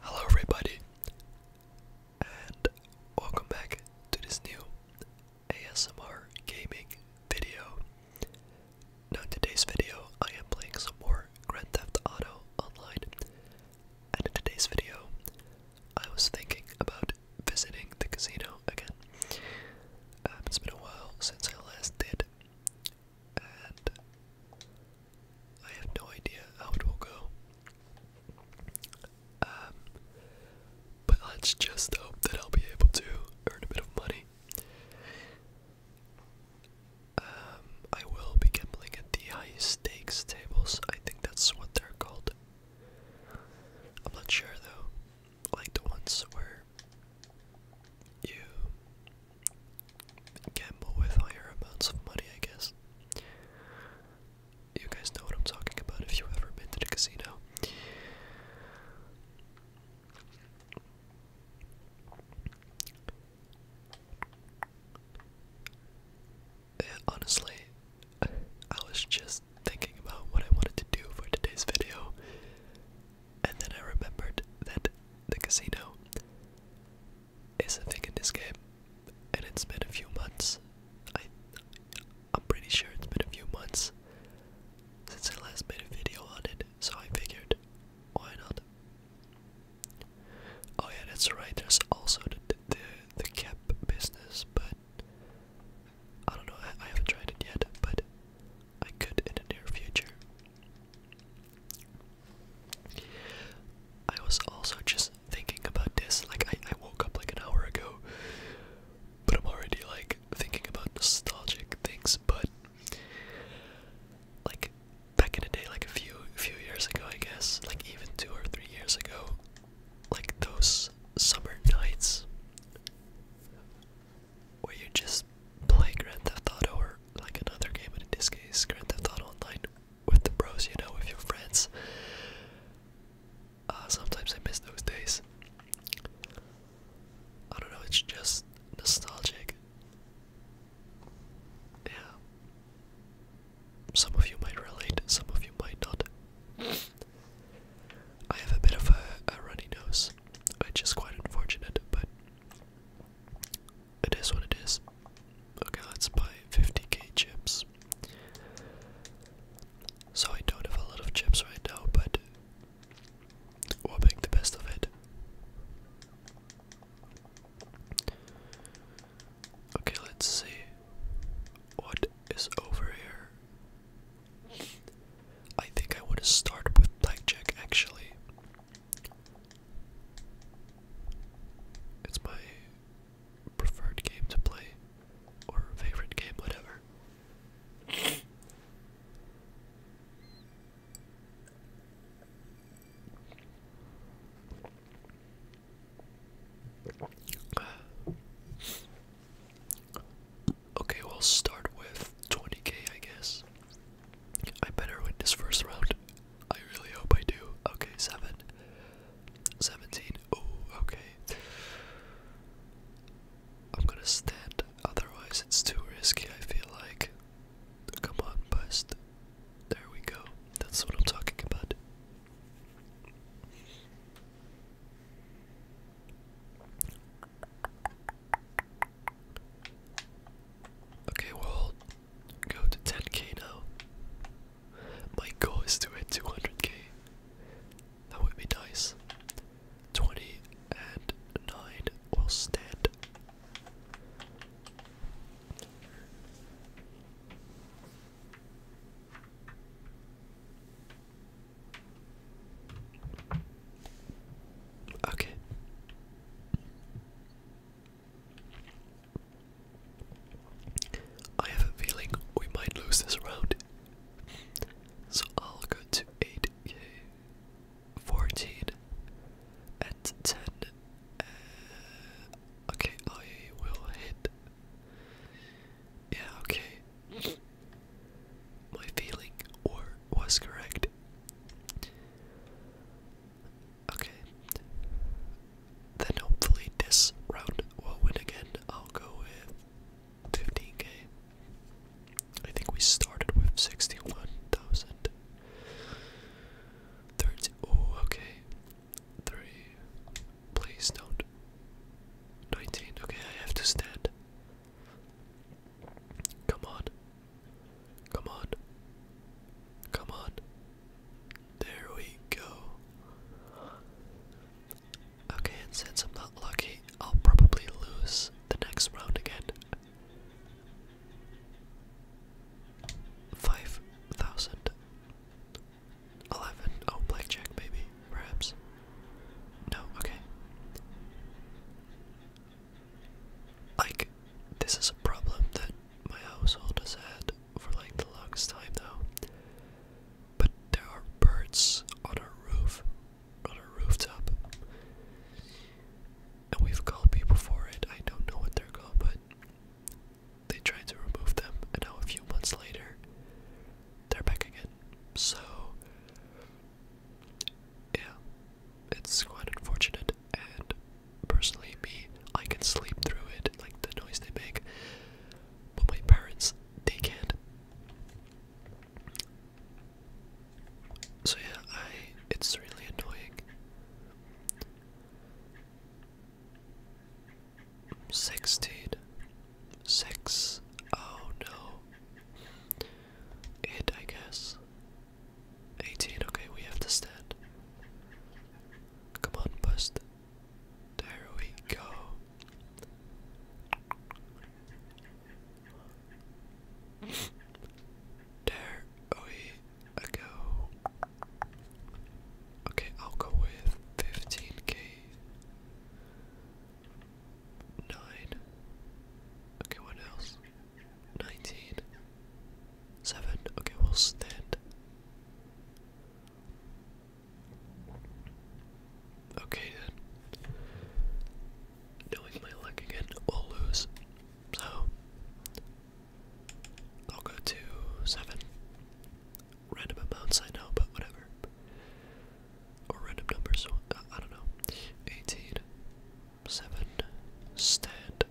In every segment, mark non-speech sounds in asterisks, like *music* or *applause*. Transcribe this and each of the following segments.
Hello, everybody, and welcome back to this new ASMR gaming video. Now, in today's video, I am playing some more Grand Theft Auto Online, and in today's video, I was thinking about visiting the casino again. Uh, it's been a while since I last did and I have no idea how it will go. Um, but let's just hope that I'll be able to earn a bit of money. Um, I will be gambling at the high stakes tables. I think that's what they're called. I'm not sure though. Like the ones where you gamble with higher amounts of money, I guess. You guys know what I'm talking about if you've ever been to the casino. honestly, I was just thinking about what I wanted to do for today's video, and then I remembered that the casino is a thing in this game, and it's been a few months. I, am pretty sure it's been a few months since I last made a video on it, so I figured, why not? Oh yeah, that's right. There's also the the, the cap business, but I don't know. I haven't tried it yet, but I could in the near future. I was also just thinking about this, like I, I woke up like an hour ago, but I'm already like thinking about nostalgic things, but like back in the day, like a few few years ago I guess, like even two or three years ago, like those summer nights where you just play Grand Theft Auto or like another game, in this case, Grand Theft Auto Online with the pros, you know, with your friends. Uh, sometimes I miss those days. I don't know, it's just nostalgic. Yeah. Some of you might relate, some of you might not. I have a bit of a, a runny nose, which is quite unfortunate, but it is what it is. Okay, let's buy 50k chips. So I don't have a lot of chips right now, but we'll make the best of it. Okay, let's see what is over here. I think I would have started with blackjack actually. It's my preferred game to play, or favorite game, whatever. Okay, we'll start with 20k, I guess. I better win this first round. I really hope I do. Okay, 7. 17. Oh, okay. I'm gonna stand, otherwise, it's too risky, I feel like. Come on, bust. There we go. That's what I'm talking about. Okay, well, go to 10k now. My goal is to hit 200k. That would be nice. 20 and 9 will stand. Okay. I have a feeling we might lose this round. So I'll go to 8 and 10. Uh, okay, I will hit. Yeah, okay. My feeling or was correct. Okay. Then hopefully this round will win again. I'll go with 15k. I think we started with 61,000. Oh, okay. 3. Please don't. 19. Okay, I have to stand. Come on. Come on. Come on. There we go. Okay, and since I'm not lucky, I'll probably lose the next round again. 5,000. 11. Oh, blackjack, maybe perhaps? No, okay. Like, this is a problem that my household has had for like the longest time now. But there are birds on a roof, on our rooftop. And we've called people for it. I don't know what they're called, but they tried to remove them. And now, a few months later, they're back again. So, yeah, it's quite unfortunate. And personally, me, I can sleep through it, like the noise they make. But my parents, they can't. So yeah, I it's really annoying. Sixteen. Six. Oh no. Eight, I guess. 18, okay, we have to stand. Come on, bust. There we go. There we go. Okay, I'll go with 15k nine. Okay, what else? Nineteen. Seven. Okay, we'll stand. Okay then. Knowing my luck again, we'll lose. So I'll go to seven random amounts, I know, but whatever. Or random numbers, uh, I don't know. 18, stand.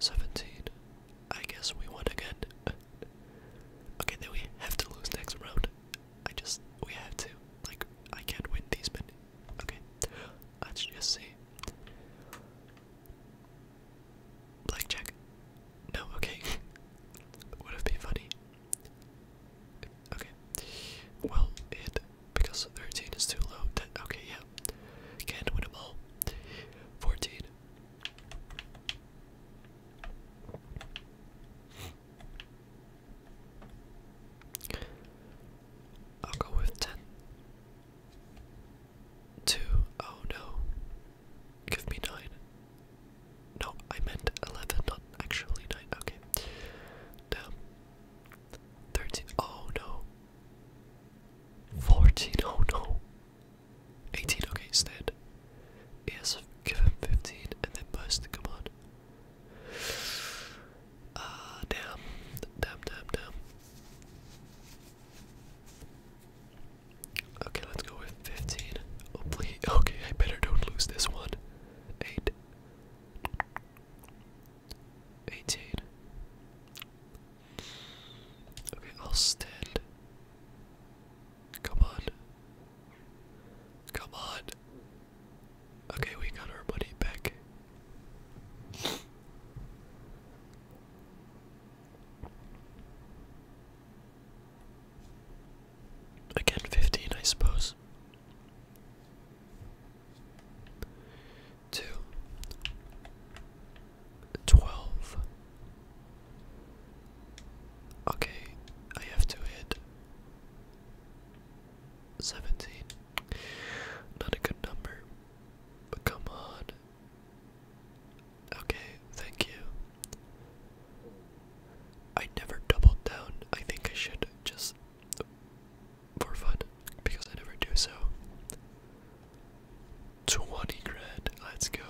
17, I guess we won again. *laughs* okay, then we have to lose next round. I just, we have to. Like, I can't win these many. Okay, let's just see. Blackjack? No, okay. *laughs* Would have been funny. Okay. Well, it because 13 is too low. That, okay, yeah. Can't win them all. 14. I'll go with 10. 2. Oh no. Give me nine. No, I meant eleven, not actually nine. Okay. Damn. Thirteen. Oh no. Fourteen. Oh no. Eighteen. Okay, Instead, Yes, give him fifteen, and then burst. Come on. Ah, damn. Damn. Damn. Damn. Okay, let's go with 15. Okay, I better don't lose this one. 8. 18. Okay, I'll stand. Come on. Come on. Okay, we got our money back. Again, 15, I suppose. 2 12 Okay, I have to hit 17. Not a good number. But come on. Okay, thank you. I never doubled down. I think I should just for fun because I never do so. 20 grand, let's go.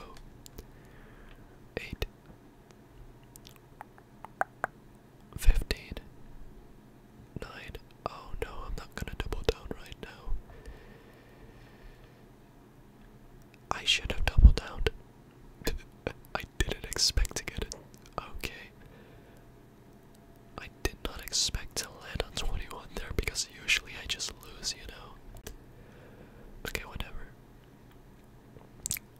8 15 9 Oh no, I'm not gonna double down right now. I should have doubled down. *laughs* I didn't expect to get it. Okay. I did not expect to land on 21 there because usually I just lose, you know? Okay, whatever.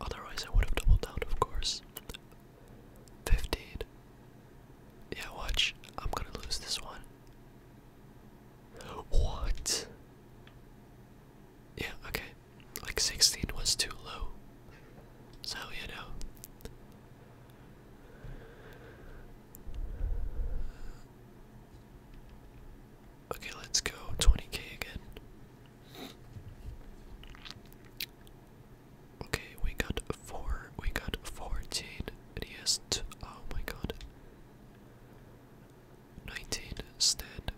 Otherwise, I would have doubled down, of course. 15. Yeah, watch. I'm gonna lose this one. What? Yeah, okay. Like 16 was too low. So, you know. Okay, let's go 20k again. Okay, we got 4, we got 14 and he has t oh my god. 19 stand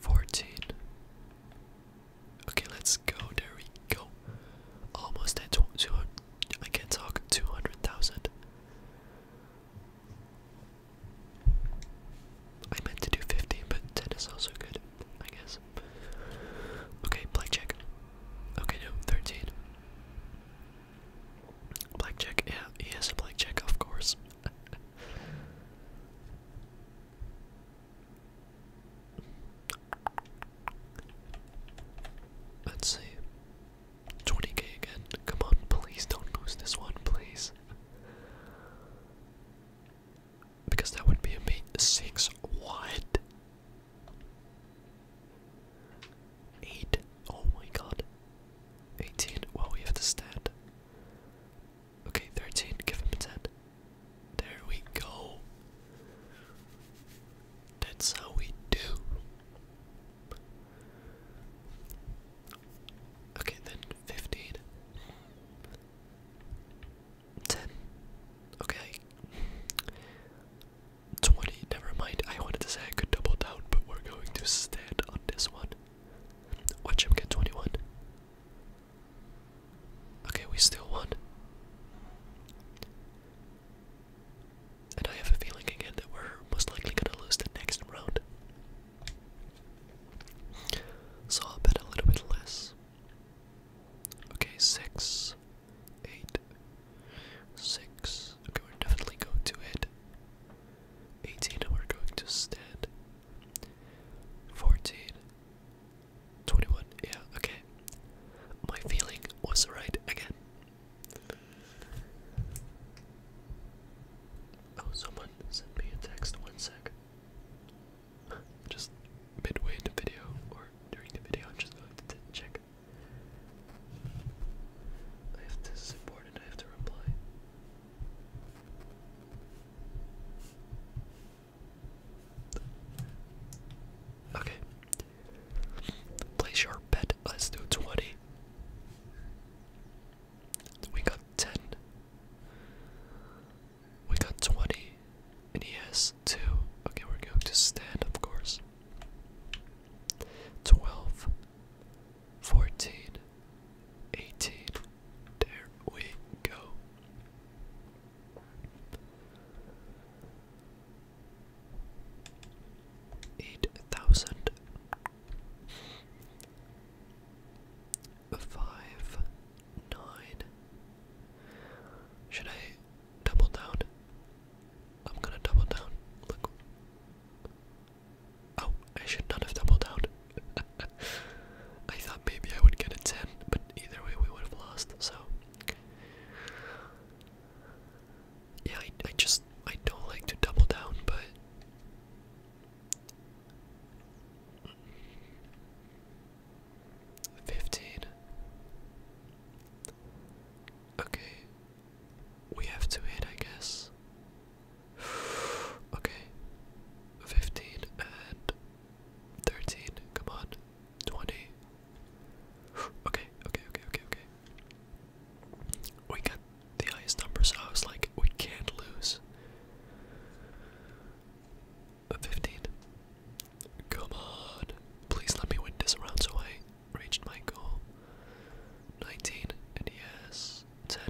14 Okay, let's go. There we go. Almost at 200 I can't talk 200,000. I meant to do 15, but 10 is also good. I guess. Okay, blackjack. Okay, no, 13. Blackjack, yeah, he has a blackjack, of course. *laughs* Let's see. 20k again. Come on, please don't lose this one, please. Because that would be a bait six. What? Eight. Oh my god. 18. Well, we have to stand. Okay, 13. Give him a 10. There we go. That's how we do. Okay, then 15. Ten. Okay. Twenty. Never mind. I wanted to say I could double down, but we're going to stand on this one. Watch him get twenty-one. Okay, we still won. And I have a feeling again that we're most likely going to lose the next round. So I'll bet a little bit less. Okay, six, eight, six. Okay, we're definitely going to hit 18 and we're going to stand 14, 21. Yeah, okay. My feeling was right again. Oh, someone sent me a text. One sec just midway in the video or during the video, I'm just going to check. I have this is important, I have to reply. Okay. Place your bet. Let's do 20. We got 10. We got 20, and he has 2. Okay, we're going to stand, of course. 12, 14, 18. There we go. Eight thousand five nine. Should I double down? I'm gonna double down. Look. Oh, I should not have doubled down. *laughs* I thought maybe I would get a 10, but either way we would have lost, so. Yeah, I, just, I don't like to double down, but Fifteen. Okay. We have to hit, I guess. *sighs* okay. 15 and 13. Come on. 20. *sighs* okay, okay, okay, okay, okay. We got the highest number, so I was like, we can't lose. 15. Come on. Please let me win this round so I reached my goal. 19. And yes. 10.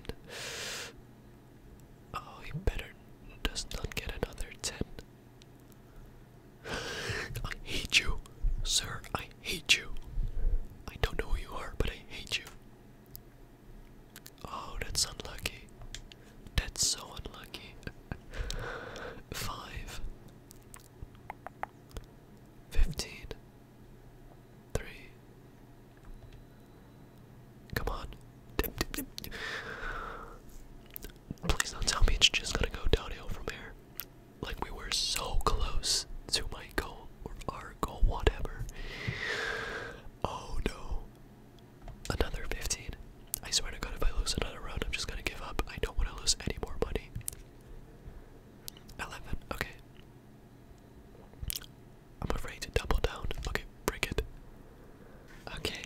Oh, he better does not get another 10. *laughs* I hate you, sir. I hate you. I don't know who you are, but I hate you. Oh, that's unlucky. That's so unlucky. *laughs* Five. Come on. Please don't tell me it's just gonna go downhill from here. Like we were so close to my goal or our goal, whatever. Oh no. Another 15. I swear to god if I lose another round, I'm just gonna give up. I don't wanna lose any more money. 11, okay. I'm afraid to double down. Okay, break it. Okay.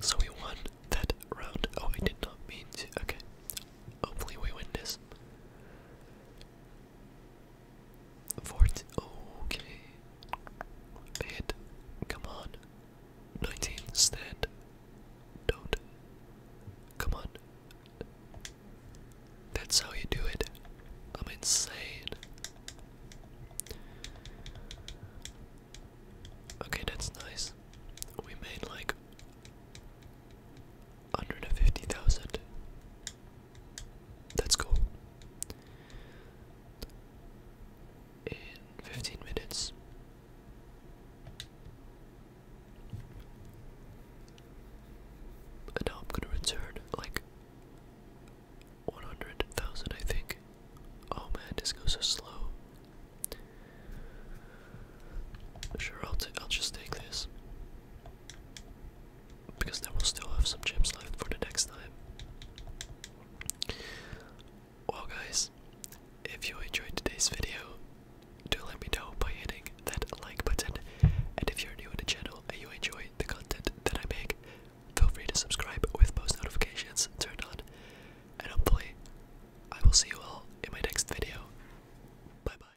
So we won that round. Oh, I did not mean to. Okay. Hopefully we win this. Fourteen. Okay. Eight. Come on. Nineteen. Stand. Don't. Come on. That's how you do it. I'm insane. Okay, that's nice. We made like 150,000. That's cool. In 15 minutes. And now I'm gonna return like 100,000, I think. Oh man, this goes so slow. Sure, I'll, t I'll just take this because then we'll still have some gems left for the next time. Well, guys, if you enjoyed today's video, do let me know by hitting that like button. And if you're new to the channel and you enjoy the content that I make, feel free to subscribe with post notifications turned on. And hopefully, I will see you all in my next video. Bye bye.